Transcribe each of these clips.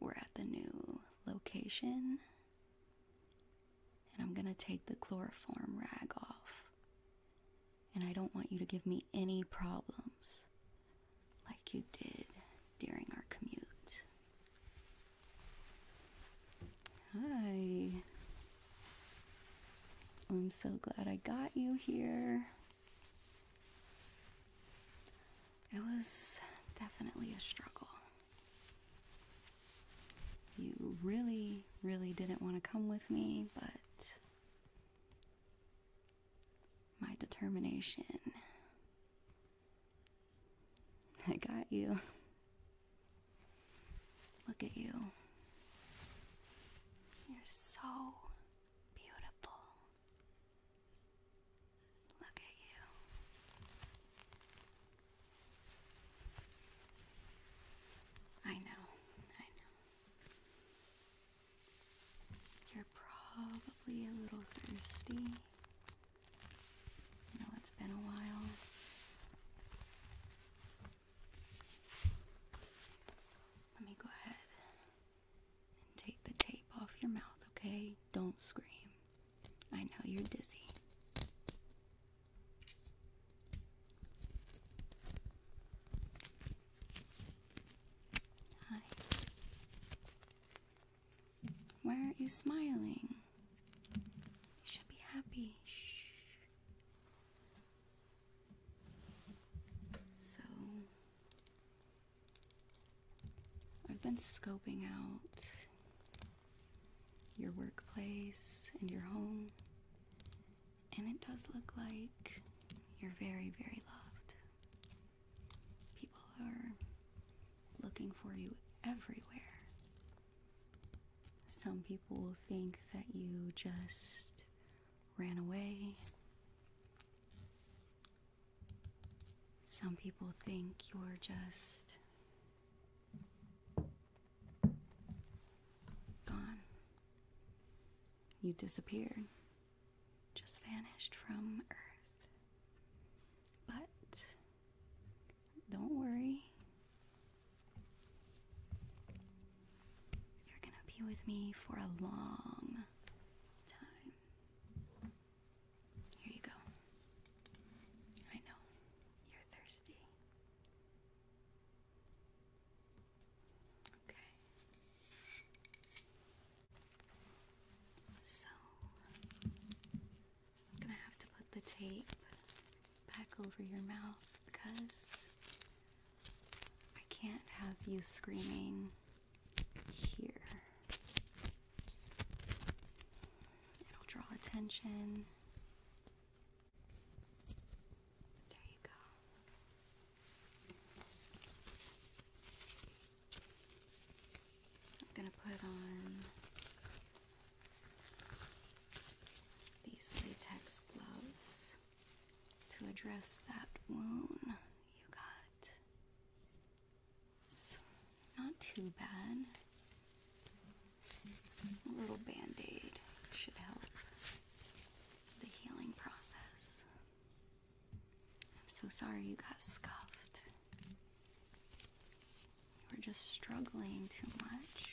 We're at the new location. And I'm gonna take the chloroform rag off. And I don't want you to give me any problems like you did during our commute. Hi. I'm so glad I got you here. It was definitely a struggle. You really, really didn't want to come with me, but my determination. I got you. Look at you. You're so beautiful. Look at you. I know, I know. You're probably a little thirsty. I know it's been a while. Let me go ahead take the tape off your mouth, okay? Don't scream. I know you're dizzy. Hi. Why aren't you smiling? You should be happy. Shh. So, I've been scoping out your workplace and your home, and it does look like you're very, very loved. People are looking for you everywhere. Some people will think that you just ran away. Some people think you're just gone. You disappeared, just vanished from Earth. But don't worry, you're gonna be with me for a long time. Here you go. I know. You're thirsty. Okay. So, I'm gonna have to put the tape back over your mouth because I can't have you screaming here. It'll draw attention. There you go. I'm going to put on these latex gloves to address that wound you got. It's not too bad. A little band aid should help the healing process. I'm so sorry you got scuffed. You are just struggling too much. All right.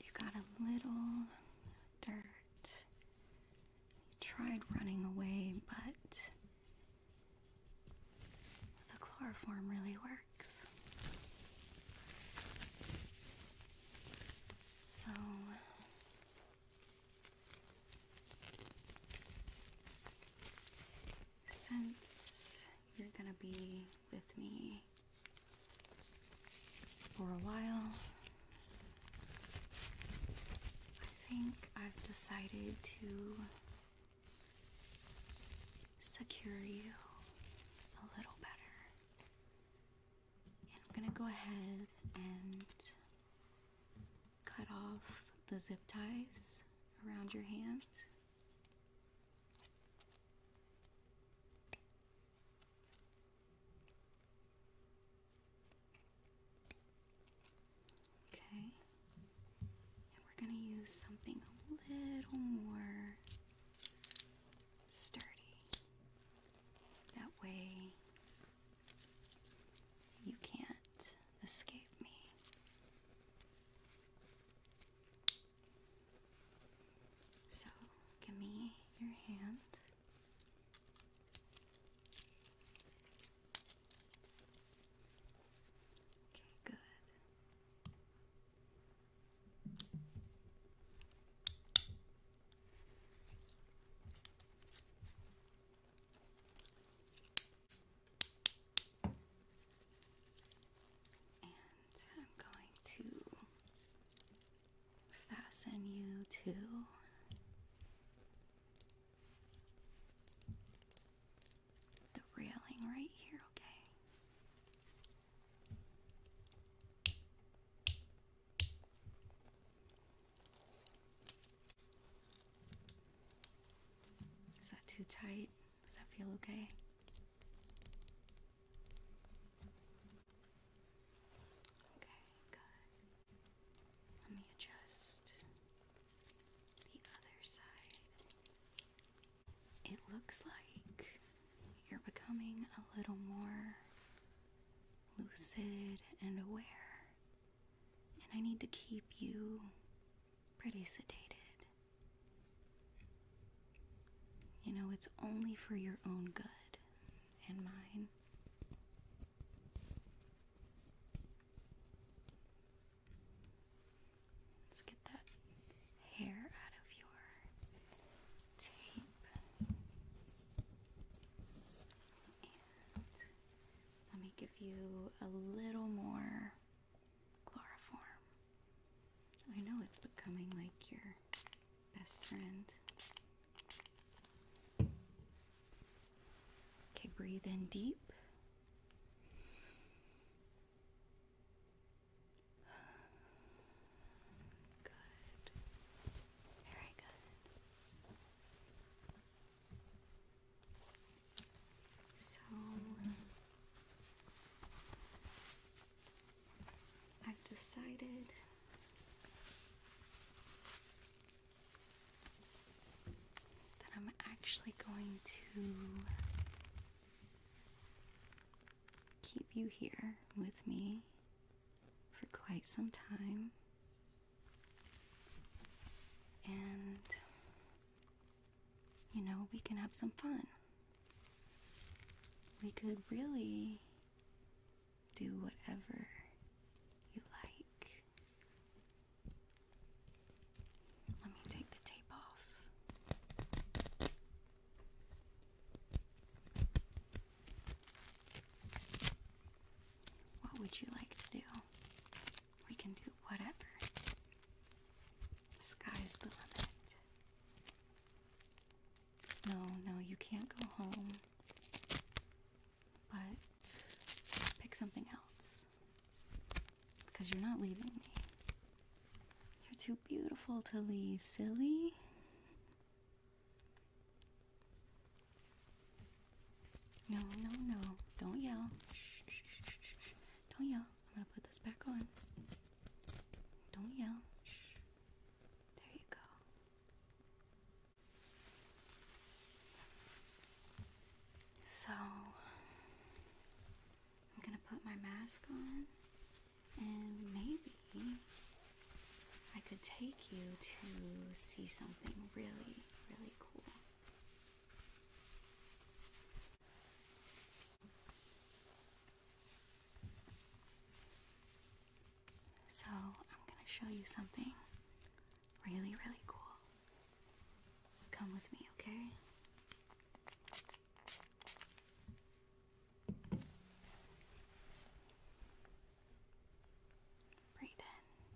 You got a little dirt he tried running away, but the chloroform really works. So since you're gonna be with me for a while, I think I've decided to secure you a little better. And I'm gonna go ahead and cut off the zip ties around your hands. Okay, we're going to use something a little more sturdy. That way you can't escape me. So, give me your hand. Okay, good. And I'm going to fasten you to the railing right here, okay? Is that too tight? Does that feel okay? Okay, good. Let me adjust the other side. It looks like you're becoming a little more lucid and aware, and I need to keep you pretty sedated. You know, it's only for your own good and mine. Let's get that hair out of your tape. let me give you a little more Chloroform. I know it's becoming like your best friend. Okay, breathe in deep. Good. Very good. So I've decided that I'm actually going to keep you here with me for quite some time. And you know, we can have some fun. We could really do whatever you like. Let me take the tape off. What would you like to do? We can do whatever. The sky's the limit. No, no, you can't go home. But pick something else. Because you're not leaving me. You're too beautiful to leave, silly. No, no, no. Don't yell. Don't yell. I'm gonna put this back on. Don't yell. There you go. So, I'm gonna put my mask on, and maybe I could take you to see something really, really cool. So, I'm gonna show you something really, really cool. Come with me, okay? Breathe in.